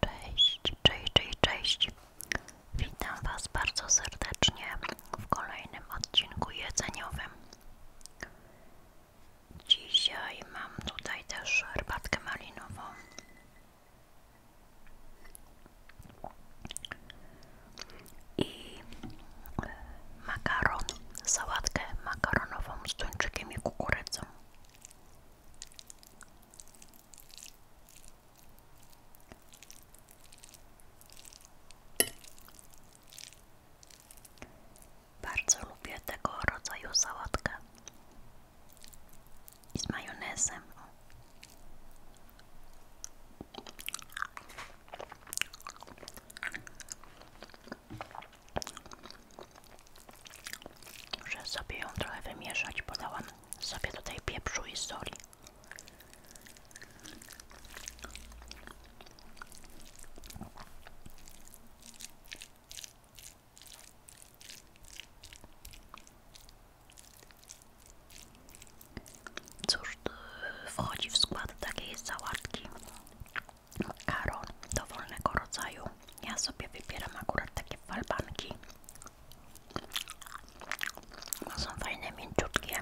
Cześć, cześć, cześć, cześć. Witam Was bardzo serdecznie w kolejnym odcinku jedzeniowym. Dzisiaj mam tutaj też herbatkę malinową. I makaron, sałatkę makaronową z tuńczykiem i kukurydzą. Bardzo lubię tego rodzaju sałatkę i majonezem. Muszę sobie trochę wymieszać, podałam sobie tutaj pieprzu i soli. Cóż, wchodzi w skład takiej sałatki Karo, do dowolnego rodzaju. Ja sobie wybieram akurat takie falbanki. Są fajne, mięciutkie.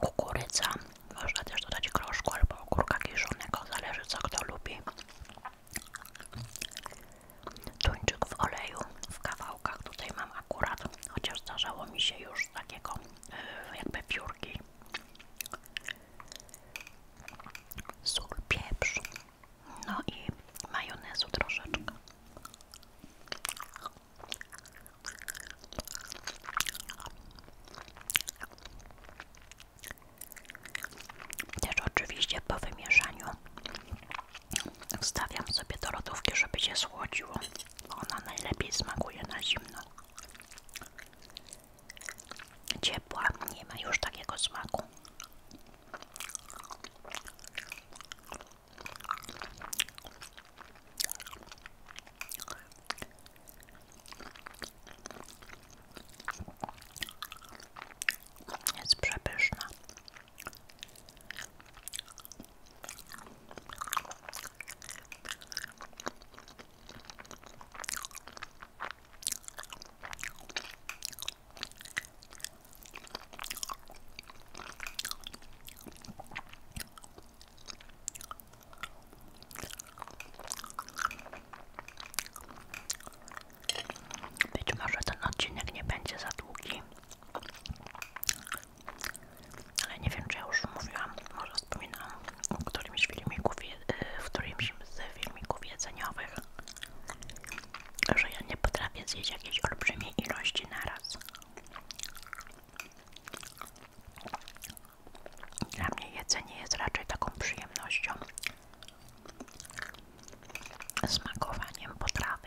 Kukurydza. Można też dodać groszku albo ogórka kiszonego, zależy co kto lubi. Tuńczyk w oleju, w kawałkach tutaj mam akurat, chociaż zdarzało mi się już takiego e, jakby piórki sól, pieprz, no i majonezu troszeczkę. Też oczywiście po wymieszaniu stawiam sobie do lodówki, żeby się słodziło. Ona najlepiej smakuje na zimno ciepła, nie ma już takiego smaku. Jest przepyszna. Być może ten odcinek nie będzie za długi, ale nie wiem, czy ja już mówiłam, może wspominałam w którymś, filmiku, e, w którymś z filmików jedzeniowych, że ja nie potrafię zjeść jakiejś olbrzymiej ilości raz. Dla mnie jedzenie jest raczej taką przyjemnością, smakowaniem potrawy.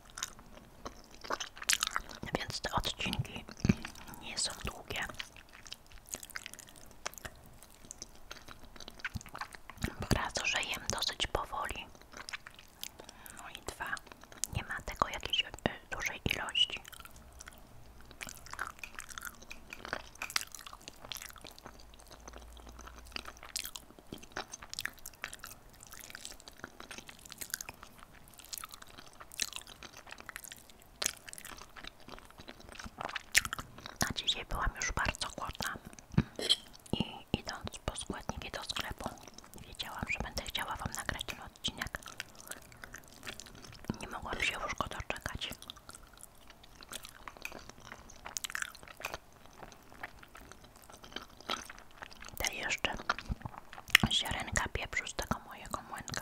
Więc te odcinki nie są długie. Raz, że jem dosyć powoli. No i dwa, nie ma tego jakiejś e, dużej ilości. Na dzisiaj byłam już bardzo głodna i idąc po składniki do sklepu wiedziałam, że będę chciała Wam nagrać ten odcinek. Nie mogłam się już go doczekać. Te jeszcze ziarenka pieprzu z tego mojego młynka.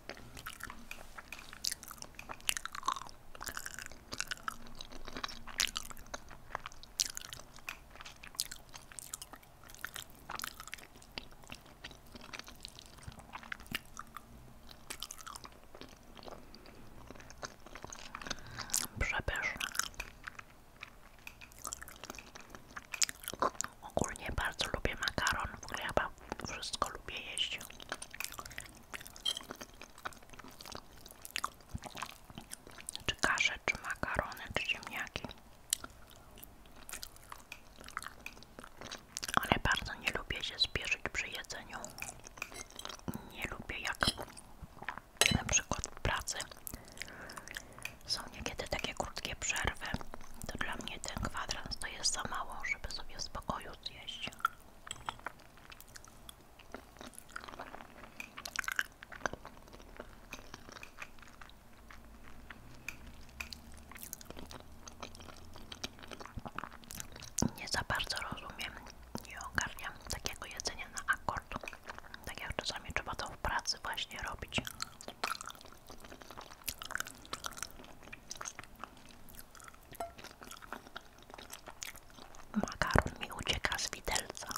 Przepyszne. Ogólnie bardzo lubię makaron, w ogóle chyba wszystko lubię jeść. Czy kasze, czy makarony, czy ziemniaki. Ale bardzo nie lubię się spieszyć przy jedzeniu. Nie lubię jak na przykład w pracy są niekiedy takie krótkie przerwy. To dla mnie ten kwadrans to jest za mało, żeby sobie w spokoju zjeść. Nie za bardzo rozumiem i ogarniam takiego jedzenia na akord. Tak jak czasami trzeba to w pracy właśnie robić. Makaron mi ucieka z widelca.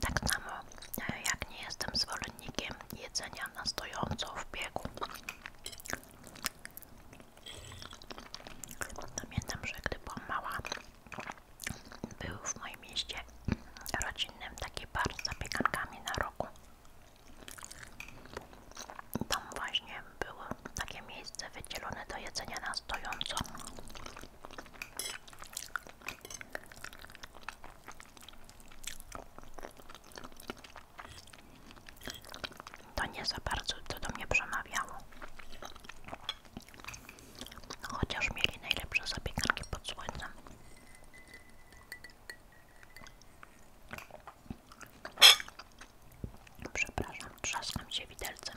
Tak samo, jak nie jestem zwolennikiem jedzenia na stojąco w biegu. Pamiętam, że gdy był mała, był w moim mieście rodzinnym taki bar z zapiekankami na rogu. Tam właśnie było takie miejsce wydzielone do jedzenia na stojąco. To nie za bardzo to do mnie przemawiało. Chociaż mieli najlepsze zabieganki pod słońcem. Przepraszam, trzaskam się widelcem.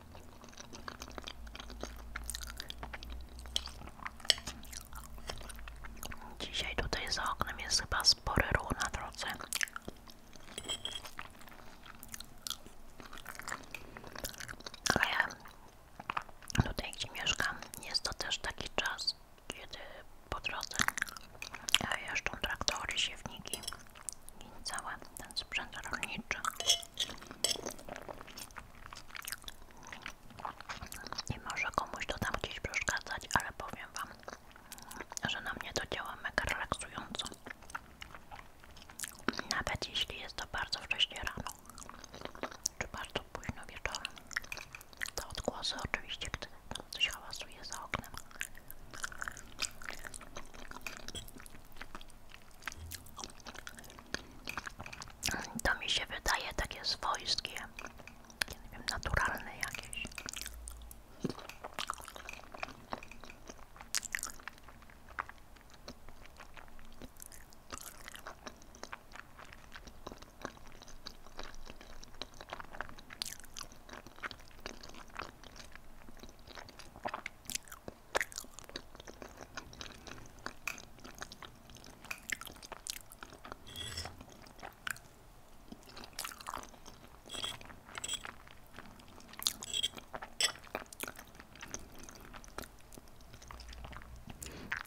Dzisiaj tutaj za oknem jest chyba spory ruch na drodze. Ale tutaj gdzie mieszkam jest to też taki czas, kiedy po drodze e, jeżdżą traktory, siewniki i całe ten sprzęt rolniczy i może komuś to tam gdzieś przeszkadzać, ale powiem Wam, że na mnie to działa mega relaksująco nawet jeśli jest to bardzo wcześnie rano czy bardzo późno wieczorem to odgłosy oczywiście, gdy coś hałasuje za oknem to mi się wydaje takie swojskie, nie wiem, naturalne jakieś.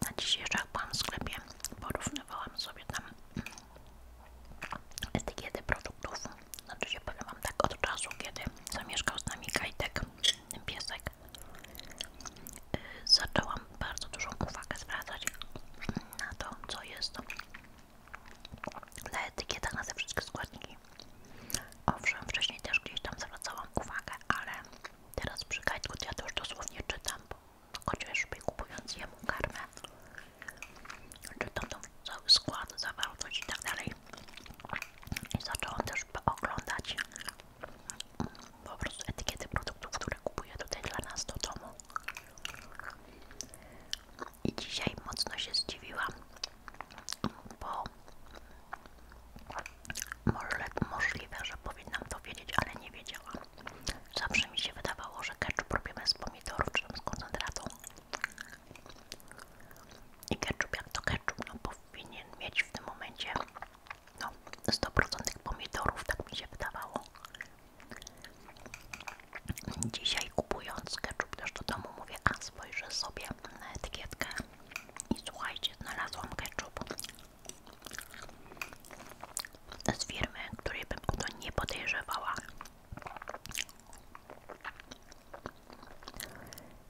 Na dzisiejszych pan w sklepie porównywałam sobie tam etykiety produktów. Znaczy się powiem wam tak od czasu, kiedy zamieszkał z nami Kajtek piesek y, zaczęłam bardzo dużą uwagę zwracać na to, co jest na etykietach, na te wszystkie składniki. Owszem, wcześniej też gdzieś tam zwracałam uwagę, ale teraz przy Kajtku ja też już dosłownie czytam, bo chociażby kupując jemu karmę, czytam tą cały skład, zawartość i tak dalej. I zaczęłam też też pooglądać mm, po prostu etykiety produktów, które kupuję tutaj dla nas do domu. I dzisiaj mocno się zdziwiłam, bo może, możliwe, że powinnam to wiedzieć, ale nie wiedziałam. Zawsze mi się wydawało, że ketchup robimy z pomidorów czy tam z koncentratą. I ketchup jak to ketchup, no bo powinien mieć w tym momencie no 100% pomidorów, tak mi się wydawało. Dzisiaj kupując ketchup też do domu mówię, a spojrzę sobie na etykietkę i słuchajcie, znalazłam ketchup z firmy, której bym o to nie podejrzewała.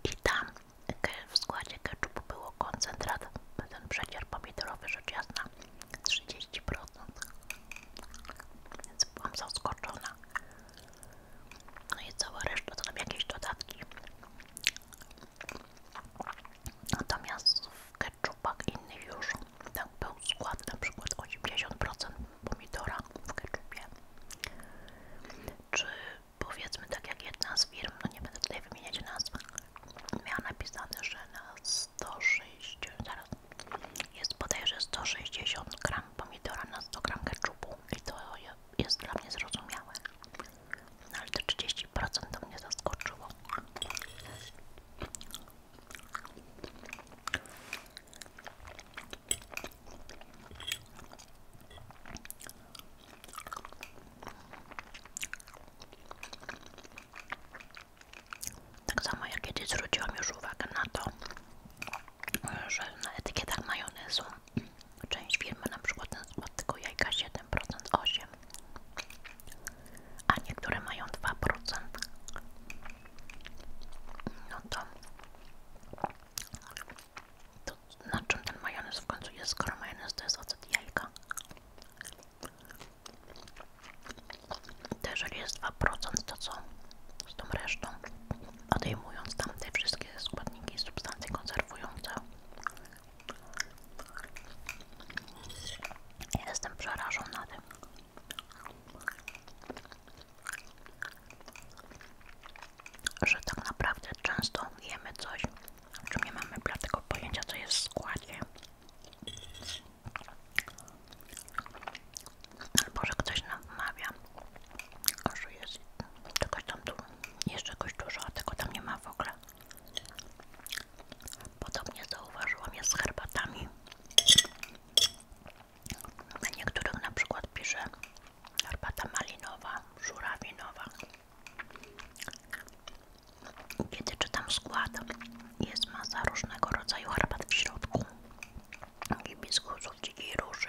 I tam w składzie ketchupu było koncentrat, ten przecier pomidorowy rzecz jasna 30%. Więc byłam zaskoczona. No i cała reszta to tam jakieś dodatki. Natomiast w ketchupach innych już tak był skład, na przykład 80% pomidora w ketchupie, czy powiedzmy tak jak jedna z firm, no nie będę tutaj wymieniać nazw, miała napisane, że na 160, zaraz, jest bodajże 160 gram pomidora na 100 gram keczupu i to jest dla mnie zrozumiałe, no, ale te 30% to mnie zaskoczyło. Tak samo jak kiedyś zwróciłam już uwagę na to, że na etykietach majonezu część firmy na przykład nazywa tylko jajka 7%, 8%, a niektóre mają 2%. No to to na czym ten majonez w końcu jest, skoro majonez jest ocet jajka? To jeżeli jest 2%, to co z tą resztą? Odejmując tam te wszystkie składniki i substancje konserwujące. Jestem przerażona tym że tak naprawdę często jemy coś, o czym nie mamy bladego pojęcia, co jest w składzie. Albo że ktoś nam wmawia, że jest czegoś tam tu, jest czegoś dużo, a tego tam nie ma w ogóle. Podobnie zauważyłam je z herbatami. Na niektórych na przykład pisze herbata malinowa, żurawinowa. Kiedy czytam skład, jest masa różnego rodzaju herbat w środku. Hibiskusów, dzikiej róży,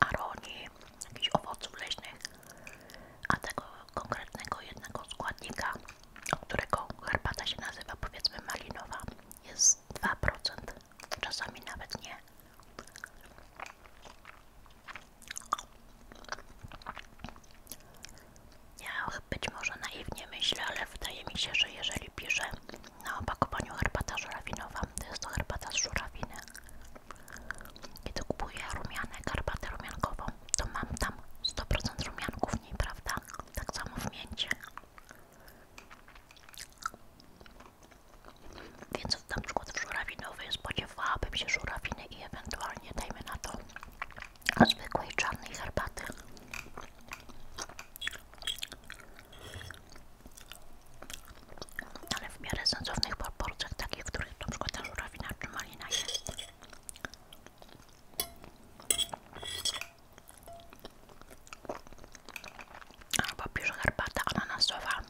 aronii, jakichś owoców leśnych. A tego konkretnego jednego składnika, którego herbata się nazywa powiedzmy malinowa, jest 2%, czasami nawet nie. Ja być może naiwnie myślę, ale wydaje mi się, że jeżeli piszę na opakowaniu herbatę żurawinową, to jest to herbata z żurawiny. Kiedy kupuję rumianek, herbatę rumiankową, to mam tam 100% rumianków w niej, prawda? Tak samo w mięcie. Więc na przykład w żurawinowej spodziewałabym się żurawiny i ewentualnie dajmy na to zwykłej czarnej herbaty. Ale w miarę sensownych proporcjach, takich, w których na przykład ta żurawina czy malina jest. Albo pisz herbata ananasowa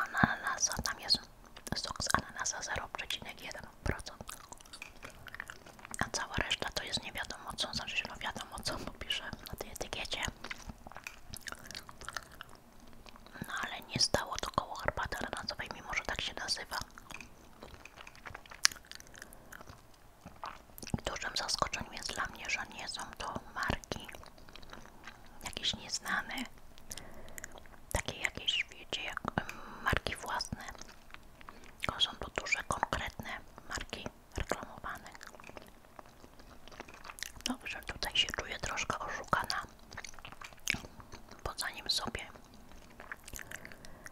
ananasa, tam jest sok z ananasa 0,1%. A cała reszta to jest nie wiadomo co, znaczy no wiadomo co popisze na tej etykiecie. No ale nie stało to koło herbaty ananasowej, mimo że tak się nazywa. Dużym zaskoczeniem jest dla mnie, że nie są to marki jakieś nieznane, takie jakieś, wiecie, jak marki własne. To są to duże, konkretne marki reklamowane. Dobrze, tutaj się czuję troszkę oszukana, bo zanim sobie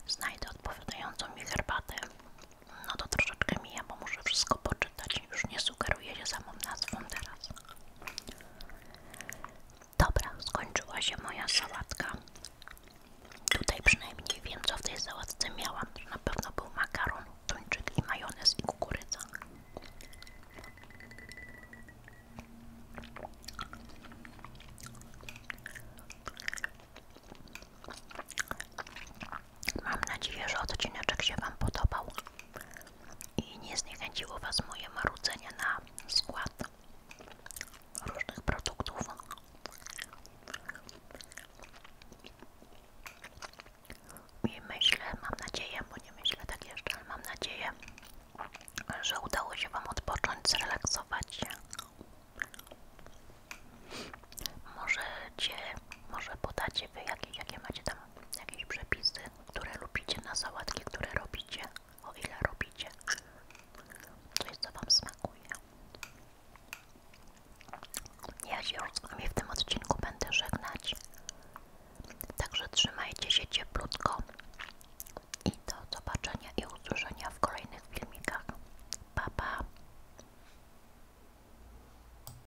znajdę odpowiadającą mi herbatę, no to troszeczkę mija, bo muszę wszystko poczytać już nie sugeruję się samą nazwą teraz. Dobra, skończyła się moja sałatka. Tutaj przynajmniej wiem, co w tej sałatce miałam. Na pewno był makaron, tuńczyk majonez i kukurydza. Mam nadzieję, że odcineczek się Wam podobał i nie zniechęciło Was moje marudzenie na skład różnych produktów. I myślę, mam nadzieję, bo nie myślę tak jeszcze, ale mam nadzieję, że udało się Wam odpocząć, zrelaksować się. Możecie może podacie wy, jakie, jakie macie tam jakieś przepisy, które lubicie na sałatki, które robicie, o ile robicie, coś co wam smakuje. Ja się już z wami w tym odcinku będę żegnać, także trzymajcie się cieplutko i do zobaczenia i usłyszenia w kolejnych filmikach. Pa, pa!